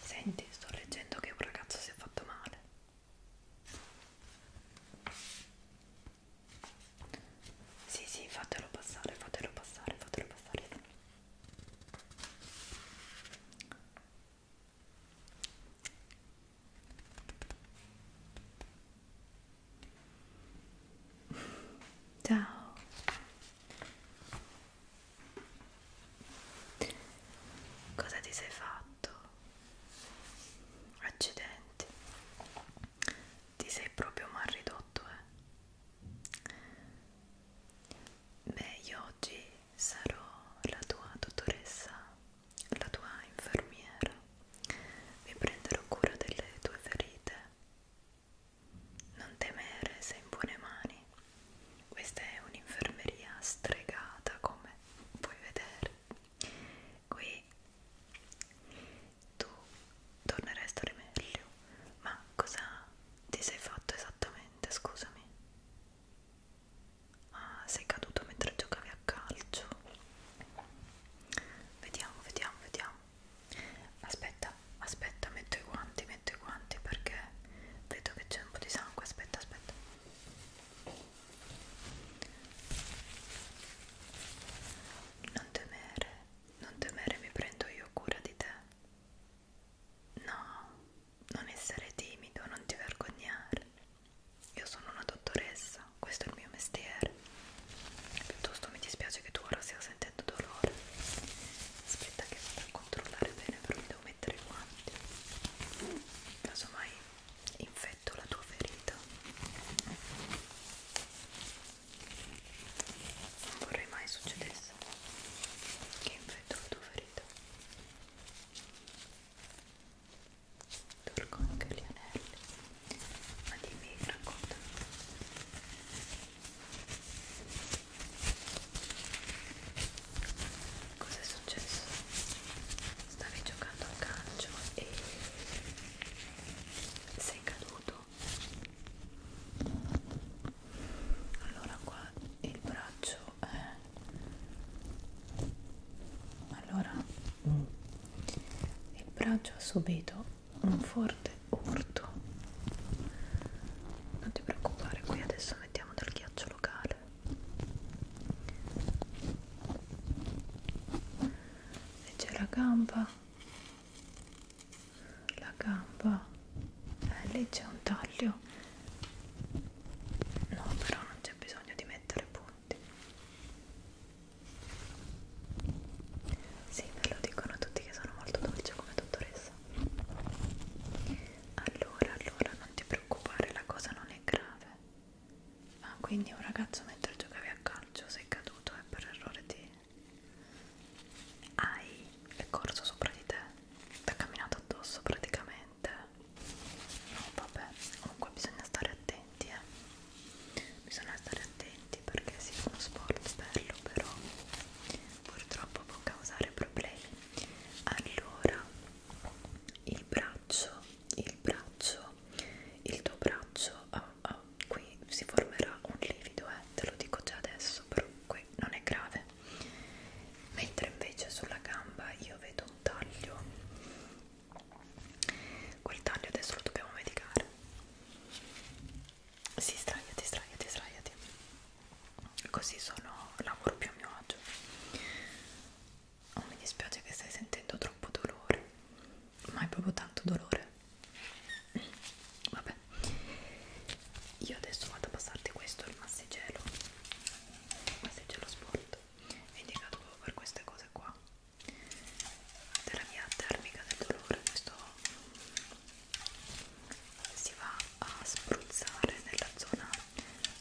Senti, sto leggendo che un ragazzo si è fatto male. Sì, sì, fatelo passare, fatelo passare, fatelo passare. Ciao. Cosa ti sei fatto? Accidenti. Ti sei proprio mal ridotto, eh? Beh, io oggi sarò la tua dottoressa, la tua infermiera. Mi prenderò cura delle tue ferite. Non temere, sei in buone mani. Questa è un'infermeria stregata, come puoi vedere. Qui tu torneresti a rimeglio, ma cosa ti sei fatto esattamente? Scusami. Ah, sei caduto mentre giocavi a calcio. Vediamo, vediamo, vediamo. Aspetta, aspetta metto i guanti metto i guanti perché vedo che c'è un po' di sangue aspetta aspetta non temere non temere mi prendo io cura di te no non essere timido non ti vergognare io sono una dottoressa questo è il mio mestiere piuttosto mi dispiace che tu ora stia sentendo dolore aspetta che vado a controllare bene però mi devo mettere mettere i guanti casomai infetto la tua ferita non vorrei mai succedesse che infetto la tua ferita tolgo anche gli anelli ma dimmi, racconta Cosa è successo? Stavi giocando a calcio e sei caduto. Allora qua il braccio è allora mm. il braccio ha subito un forte urto non ti preoccupare qui adesso mettiamo del ghiaccio locale e c'è la gamba la gamba eh, lì c'è un taglio no però non c'è bisogno di mettere punti sì me lo dicono tutti che sono molto dolce come dottoressa allora allora non ti preoccupare la cosa non è grave ah quindi un ragazzo mentre giocavi a calcio sei caduto e per errore ti hai è corso sopra di te ti ha camminato addosso praticamente no vabbè comunque bisogna stare attenti eh bisogna stare attenti perché sì è uno sport bello però purtroppo può causare problemi allora il braccio il braccio il tuo braccio ah, ah, qui si formerà un livido eh, te lo dico già adesso però qui non è grave mentre invece sulla gamba io vedo un taglio quel taglio adesso lo dobbiamo medicare si sdraiati sdraiati sdraiati così sono lavoro più a mio agio oh, mi dispiace che stai sentendo troppo dolore ma è proprio tanto dolore vabbè io adesso vado a passarti questo il massigelo il massigelo sport è indicato proprio per queste cose qua terapia termica del dolore questo si va a spruzzare nella zona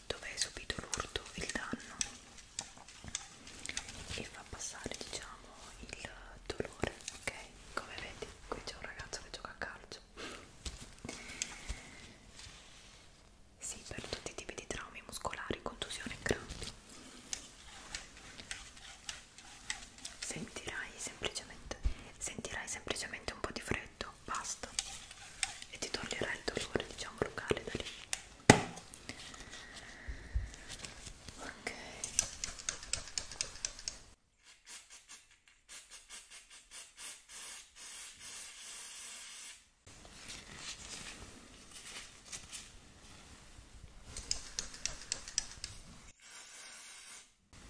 dove hai subito l'urto il danno e fa passare diciamo il dolore ok come vedi qui c'è un ragazzo che gioca a calcio sì per tutti i tipi di traumi muscolari contusione e crampi sentirai semplicemente sentirai semplicemente un po' di freddo perfetto, basta e ti toglierà il dolore diciamo locale da lì ok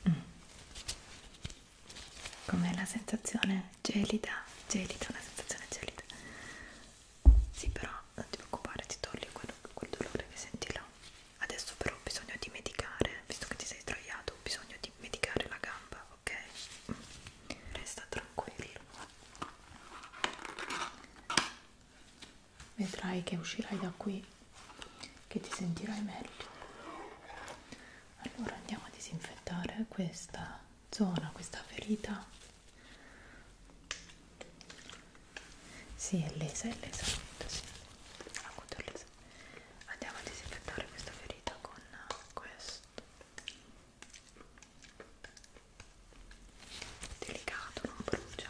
Mm. Com'è la sensazione gelida? Gelida, una sensazione gelida. Sì, però non ti preoccupare, ti toglie quel, quel dolore che senti là. Adesso però ho bisogno di medicare, visto che ti sei sdraiato, ho bisogno di medicare la gamba, ok? Mm. Resta tranquillo. Vedrai che uscirai da qui che ti sentirai meglio allora andiamo a disinfettare questa zona questa ferita si sì, è lesa è lesa sì. è lesa andiamo a disinfettare questa ferita con questo delicato non brucia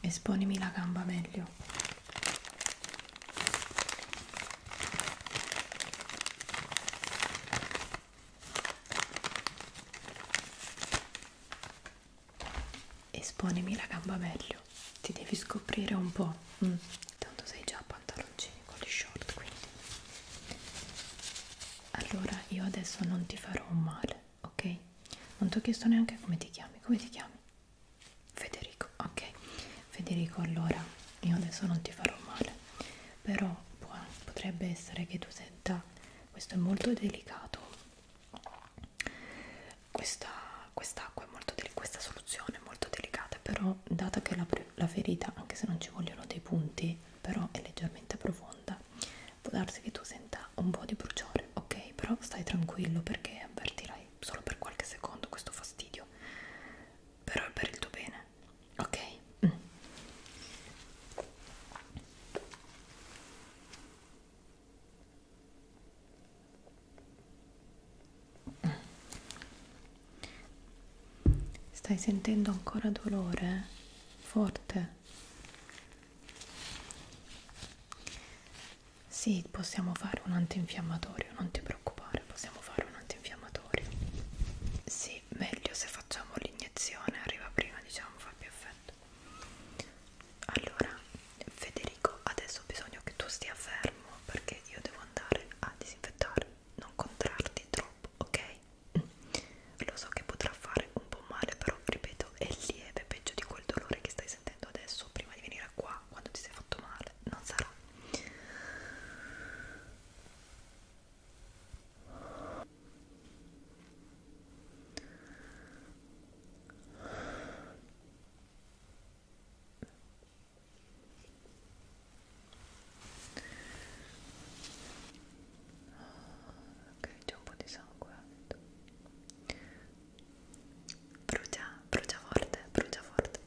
Esponimi la gamba meglio. Esponimi la gamba meglio. Ti devi scoprire un po'. Mm. Tanto sei già a pantaloncini con gli short, quindi. Allora, io adesso non ti farò un male ok? Non ti ho chiesto neanche come ti chiami, come ti chiami? Federico, ok? Federico, allora io adesso non ti farò male, però può, potrebbe essere che tu senta, questo è molto delicato, questa quest'acqua è molto delicata, questa soluzione è molto delicata, però data che la, la ferita, anche se non ci vogliono dei punti, però è leggermente profonda, può darsi che tu senta un po' di bruciore, ok? Però stai tranquillo perché avvertirai solo per qualche secondo questo fastidio, però è per il tuo bene, ok? Mm. Stai sentendo ancora dolore? Eh? Forte? Sì, possiamo fare un antinfiammatorio, non ti preoccupare, possiamo fare un antinfiammatorio. Sì, meglio se facciamo l'iniezione, arriva prima, diciamo, fa più effetto. Allora, Federico, adesso ho bisogno che tu stia fermo perché io devo andare a disinfettare, non contrarti troppo, ok? Lo so che potrà fare un po' male, però ripeto, è lieve, peggio di quel dolore che stai sentendo adesso prima di venire qua, quando ti sei fatto male, non sarà. Ah, ok, c'è un po' di sangue. Brucia, brucia forte, brucia forte.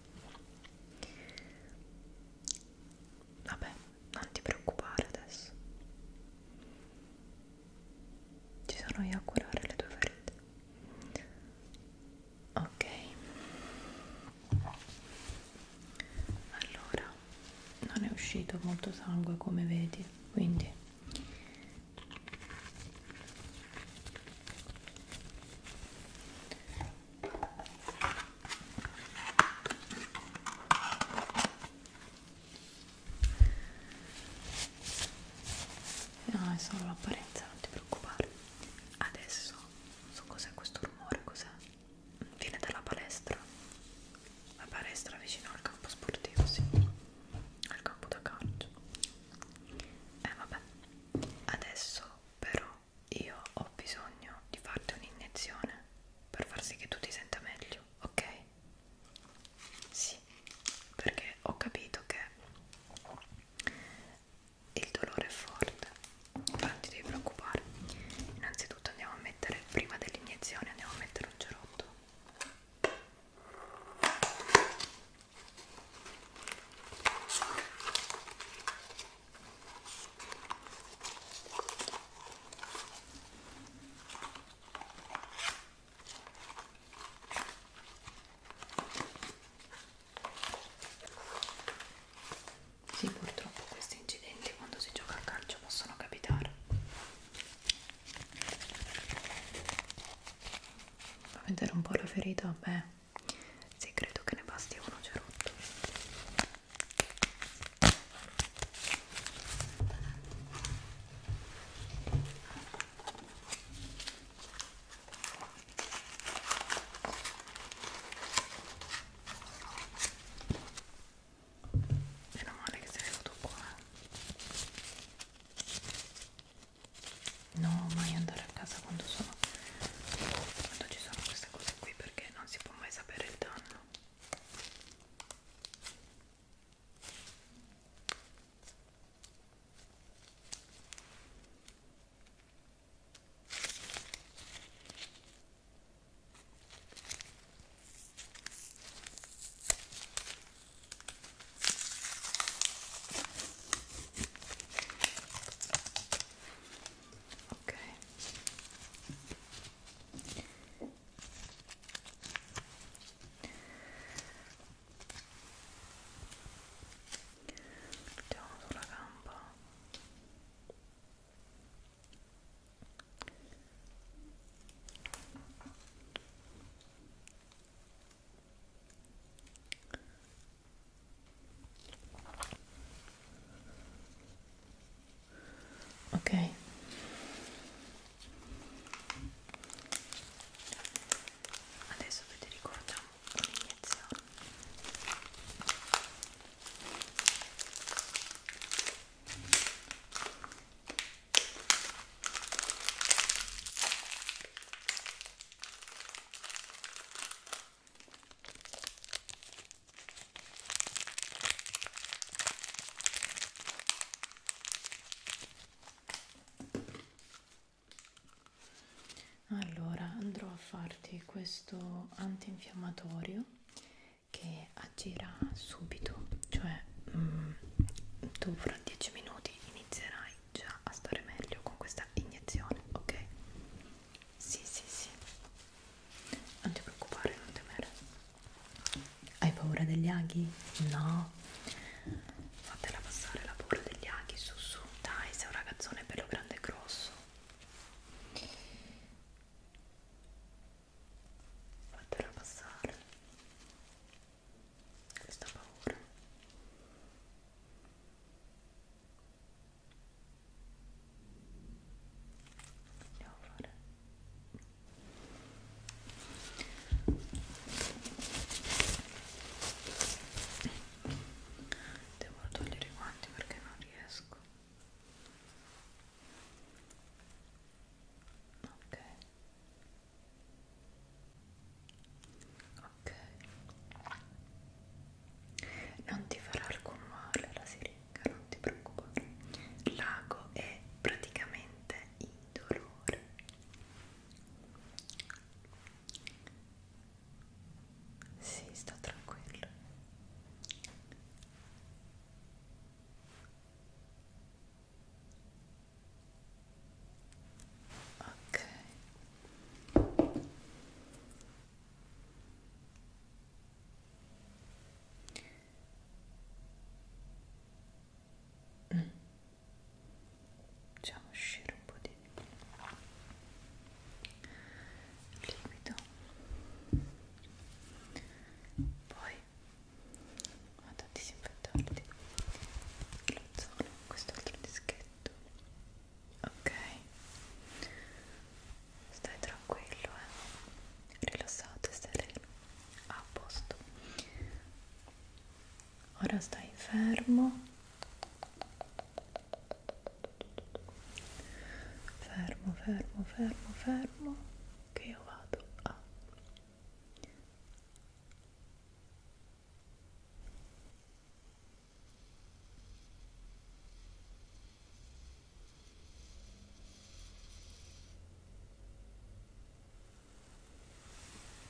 Vabbè, non ti preoccupare adesso. Ci sono io a curare le tue ferite. Ok. Allora non è uscito molto sangue come vedi quindi No, è solo l'apparenza, non ti preoccupare. Adesso non so cos'è questo rumore, cos'è? Viene dalla palestra la palestra vicino al campo sportivo, sì, al campo da calcio. E eh, vabbè, adesso però io ho bisogno di farti un'iniezione per far sì che tu ti senta meglio, ok? Sì, perché ho capito che il dolore è forte, non ti devi preoccupare. Innanzitutto andiamo a mettere, prima dell'iniezione andiamo a mettere un cerotto sì, purtroppo questi incidenti quando si gioca a calcio possono capitare a vedere un po' la ferita, beh, sì, credo che ne basti uno cerotto meno male che sei venuto qua no mai andare a casa quando sono quando ci sono queste cose qui perché non si può mai sapere il danno Ok. Mettiamo sulla gamba ok adesso vi ricordiamo un'iniezione allora andrò a farti questo antinfiammatorio che agirà subito, cioè mm, tu fra 10 minuti inizierai già a stare meglio con questa iniezione, ok? Sì, sì, sì, non ti preoccupare, non temere. Hai paura degli aghi? No, fatela passare la paura degli aghi, su, su, dai, sei un ragazzone bello grande e grosso fatela passare questa paura andiamo a fare devo togliere i guanti perché non riesco ok ok non ti farà alcun male la siringa non ti preoccupare l'ago è praticamente indolore sì sta tranquillo ok mm. facciamo uscire un po' di liquido poi ho tanti disinfettanti lo zono, quest'altro dischetto ok stai tranquillo eh rilassato e sereno a posto ora stai fermo fermo fermo fermo fermo che io vado a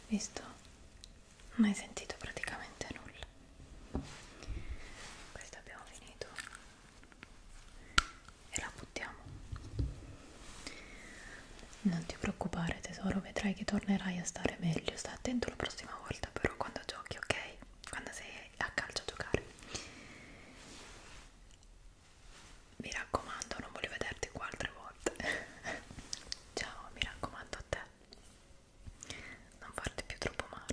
visto? non hai sentito praticamente nulla questo abbiamo finito e la buttiamo non ti preoccupare tesoro vedrai che tornerai a stare meglio sta attento la prossima volta però quando giochi ok quando sei a calcio a giocare mi raccomando non voglio vederti qua altre volte ciao mi raccomando a te non farti più troppo male